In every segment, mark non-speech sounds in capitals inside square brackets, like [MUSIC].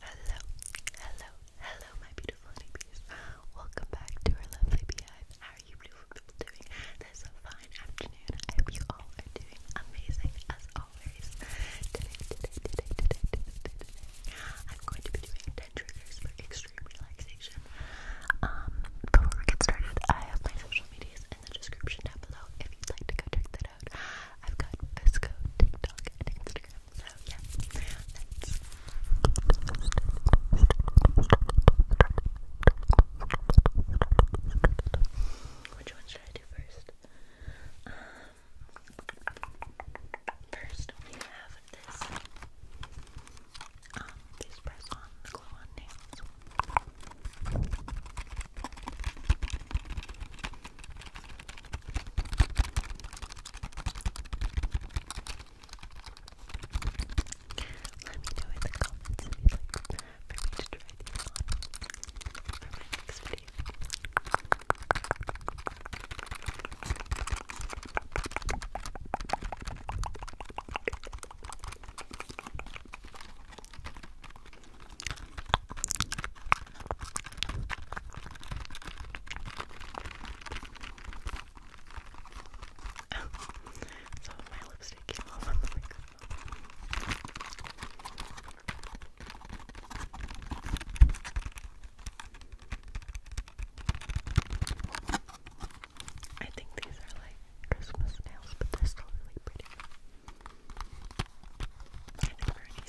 Hello, hello, hello, my beautiful honeybees. Welcome back to our lovely beehive. How are you beautiful people doing this fine afternoon? I hope you all are doing amazing as always. Today, today, today, today, today, today, I'm going to be doing 10 triggers for extreme relaxation. Um, before we get started, I have my social medias in the description down below if you'd like to go check that out. I've got Visco, TikTok, and Instagram. So yeah, which one should I do first? Um, first we have this. Um, press on the glow on nails. Let me know in the comments if you'd like for me to try these on for my next video. [LAUGHS] I think these are like Christmas nails, but they're still really pretty.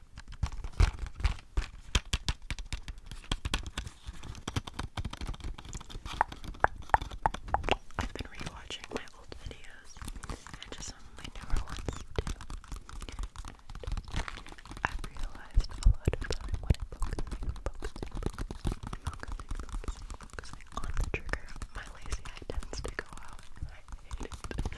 I've been rewatching my old videos and just some of my I've realized a lot of time I'm focusing, focusing, focusing, focusing, focusing, on my lazy eye tends to go out and I hate it.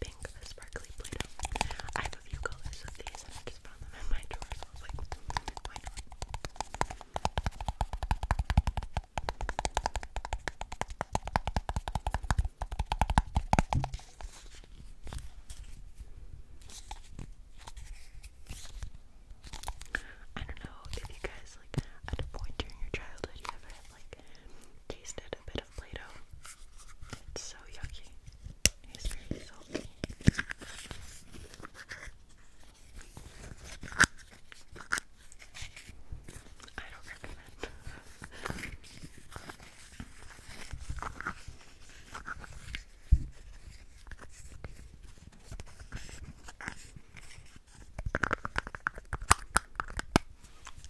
pink, the sparkly Play-Doh. I have a few colors of these and I just found them in my drawer and I was like, why not? I don't know if you guys like at a point during your childhood you ever like tasted a bit Play-Doh. It's so yucky. It's very salty. I don't recommend.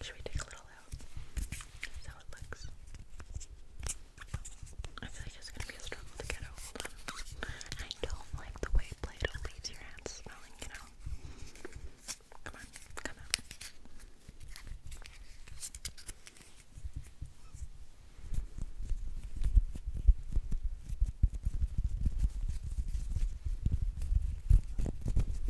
Should we take a little all I feel like it's gonna be a struggle to get a hold on. I don't like the way Play-Doh leaves your hands smelling, you know? Come on, come out.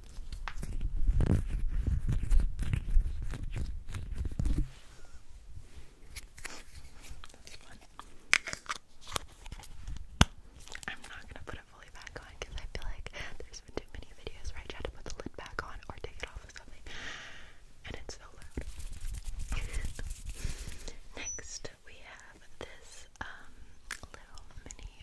That's fun. I'm not gonna put it fully back on because I feel like there's been too many videos where I try to put the lid back on or take it off or something, and it's so loud. [LAUGHS] Next, we have this um, little mini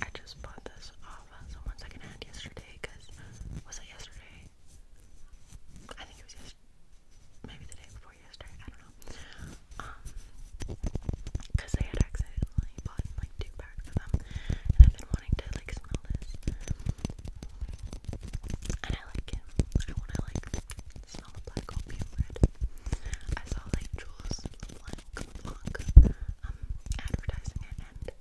I just bought this off of someone secondhand yesterday because was it yesterday? I think it was yesterday. Maybe the day before yesterday, I don't know. Um, cause they had accidentally bought like two packs of them, and I've been wanting to like smell this. I like it. I want to like smell the black opium red. I saw like Jules LeBlanc um, advertising it, and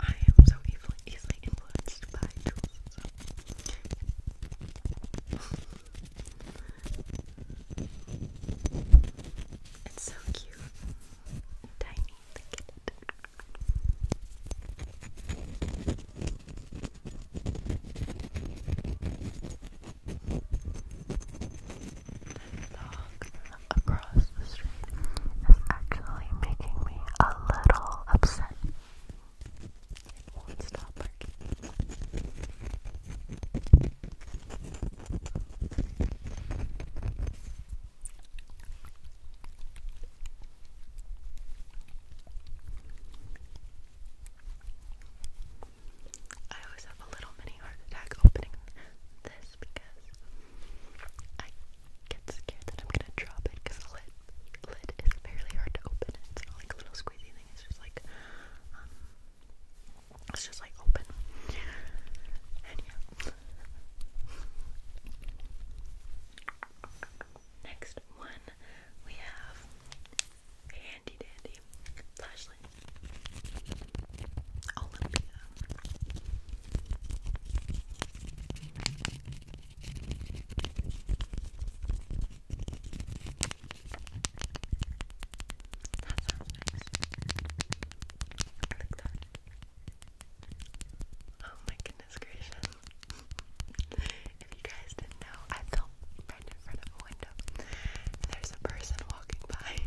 I am so easily, easily influenced by Jules. It's so cute. Tiny, look at dog across the street is actually making me a little upset. I always have a little mini heart attack opening this because I get scared that I'm gonna drop it because the lid, lid is fairly hard to open. It's like a little squeezy thing, it's just like, um, it's just like open. And yeah next one we have handy dandy Lashley Oh my goodness gracious if you guys didn't know, I fell right in front of a window. there's a person walking by.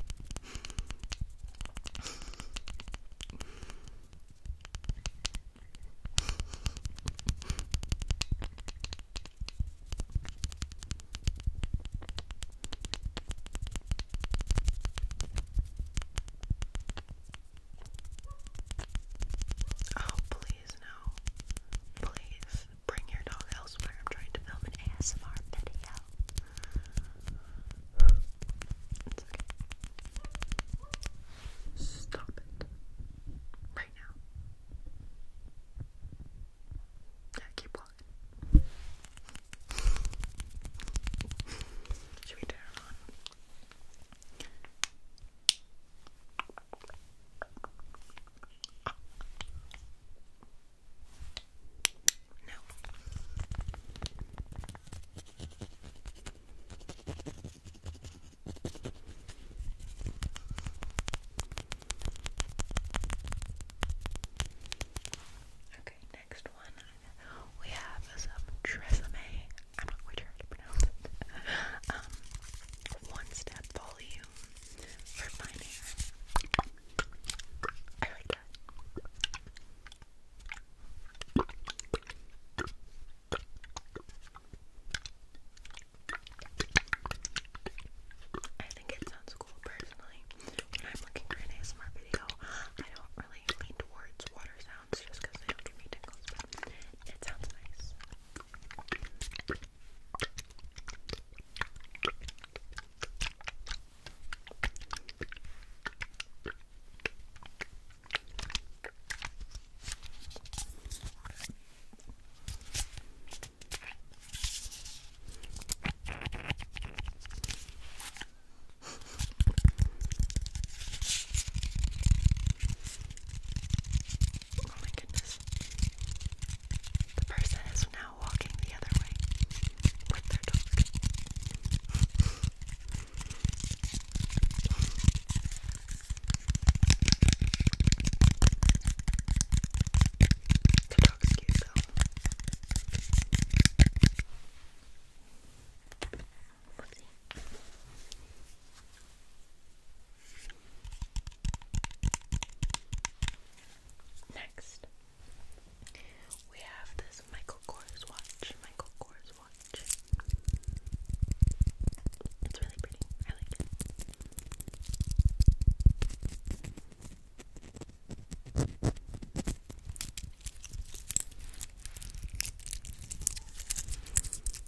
Oh, please, no. Please bring your dog elsewhere. I'm trying to film an ASMR video. It's okay. Stop it. Right now. Yeah, keep walking. Should we turn on? No. Okay, next one we have some Tresemme I'm not sure how to pronounce it. [LAUGHS] Um, one step volume for fine hair. I like that. I think it sounds cool personally. I'm looking for an ASMR video, I don't really lean towards water sounds sounds because they don't give me tickles, it sounds nice. Oh my goodness. The person is now walking the other way with their dog. the dog's cute though. Lovely. Next, we have this Michael Kors watch. Michael Kors watch. It's really pretty. I like it.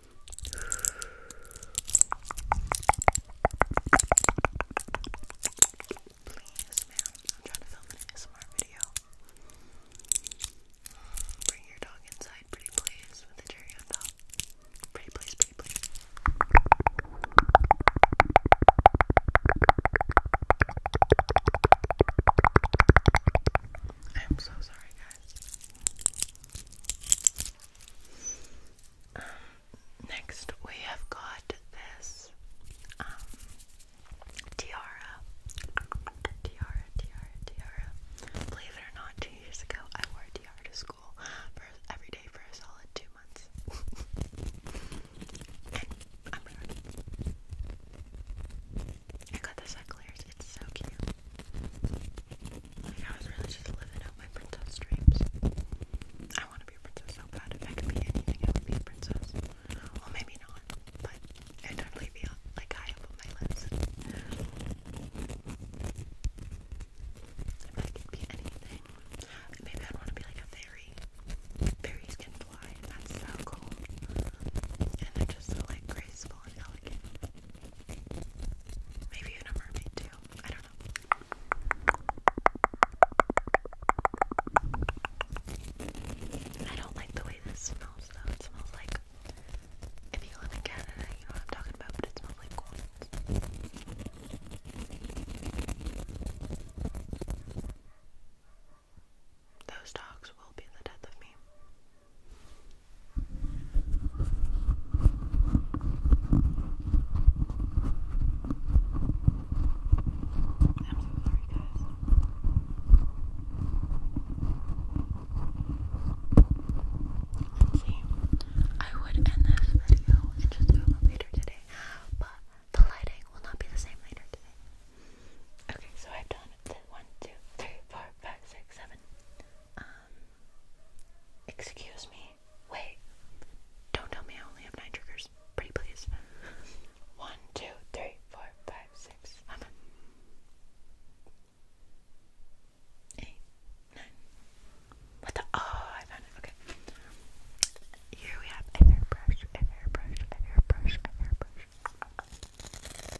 I'm Bring your dog inside, pretty please, with a cherry on top. Pretty please, pretty please. I am so sorry, guys next, we have got this um, tiara. Tiara, tiara, tiara. Believe it or not, two years ago, I wore tiara to school for every day for a solid two months. [LAUGHS] i got this at It's so cute. Like, I was really just living out my princess dreams. I want to be a princess so bad. If I could be anything, I would be a princess. Well, maybe not, but I'd definitely be like high up my lips. If I could be anything, maybe I'd want to be like a fairy. Fairies can fly, that's so cool. And they're just like graceful and elegant. Maybe even mermaid too. I don't know. I don't like the way this smells though. It smells like if you live in Canada, you know what I'm talking about, but it smells like corn. Those dogs will be the death of me. I'm so sorry, guys. I would end this video and just do it later today, but the lighting will not be the same later today. Okay, so I've done it. One, two, three, four, five, six, seven. Um, excuse me. Wait. Don't tell me I only have nine triggers. Pretty please. One, two, three, four, five, six, seven, eight, nine. What the? Oh, I found it. Okay. Here we have a hairbrush, a hairbrush, a hairbrush, a hairbrush.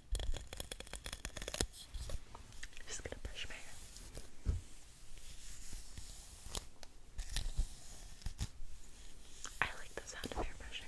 Just gonna brush my hair. I like the sound of hair brushing.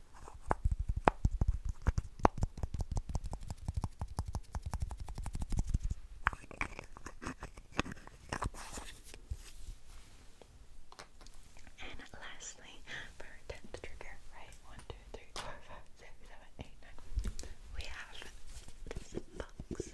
And lastly, for tenth trigger, right? One, two, three, four, five, six, seven, eight, nine. We have this box.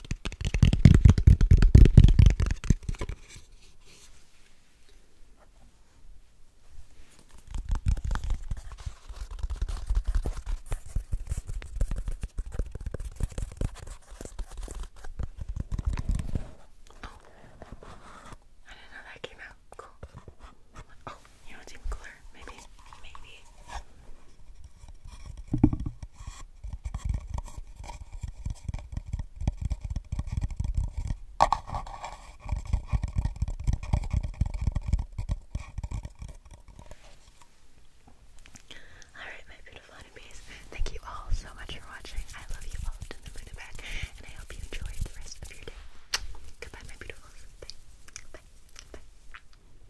Oh, I didn't know that came out. Cool. Oh, you know it's even cooler. Maybe, maybe Alright, my beautiful enemies, thank you all so much for watching. I love you all to the moon and back, and I hope you enjoy the rest of your day. Goodbye, my beautifuls. Bye. Bye. Bye.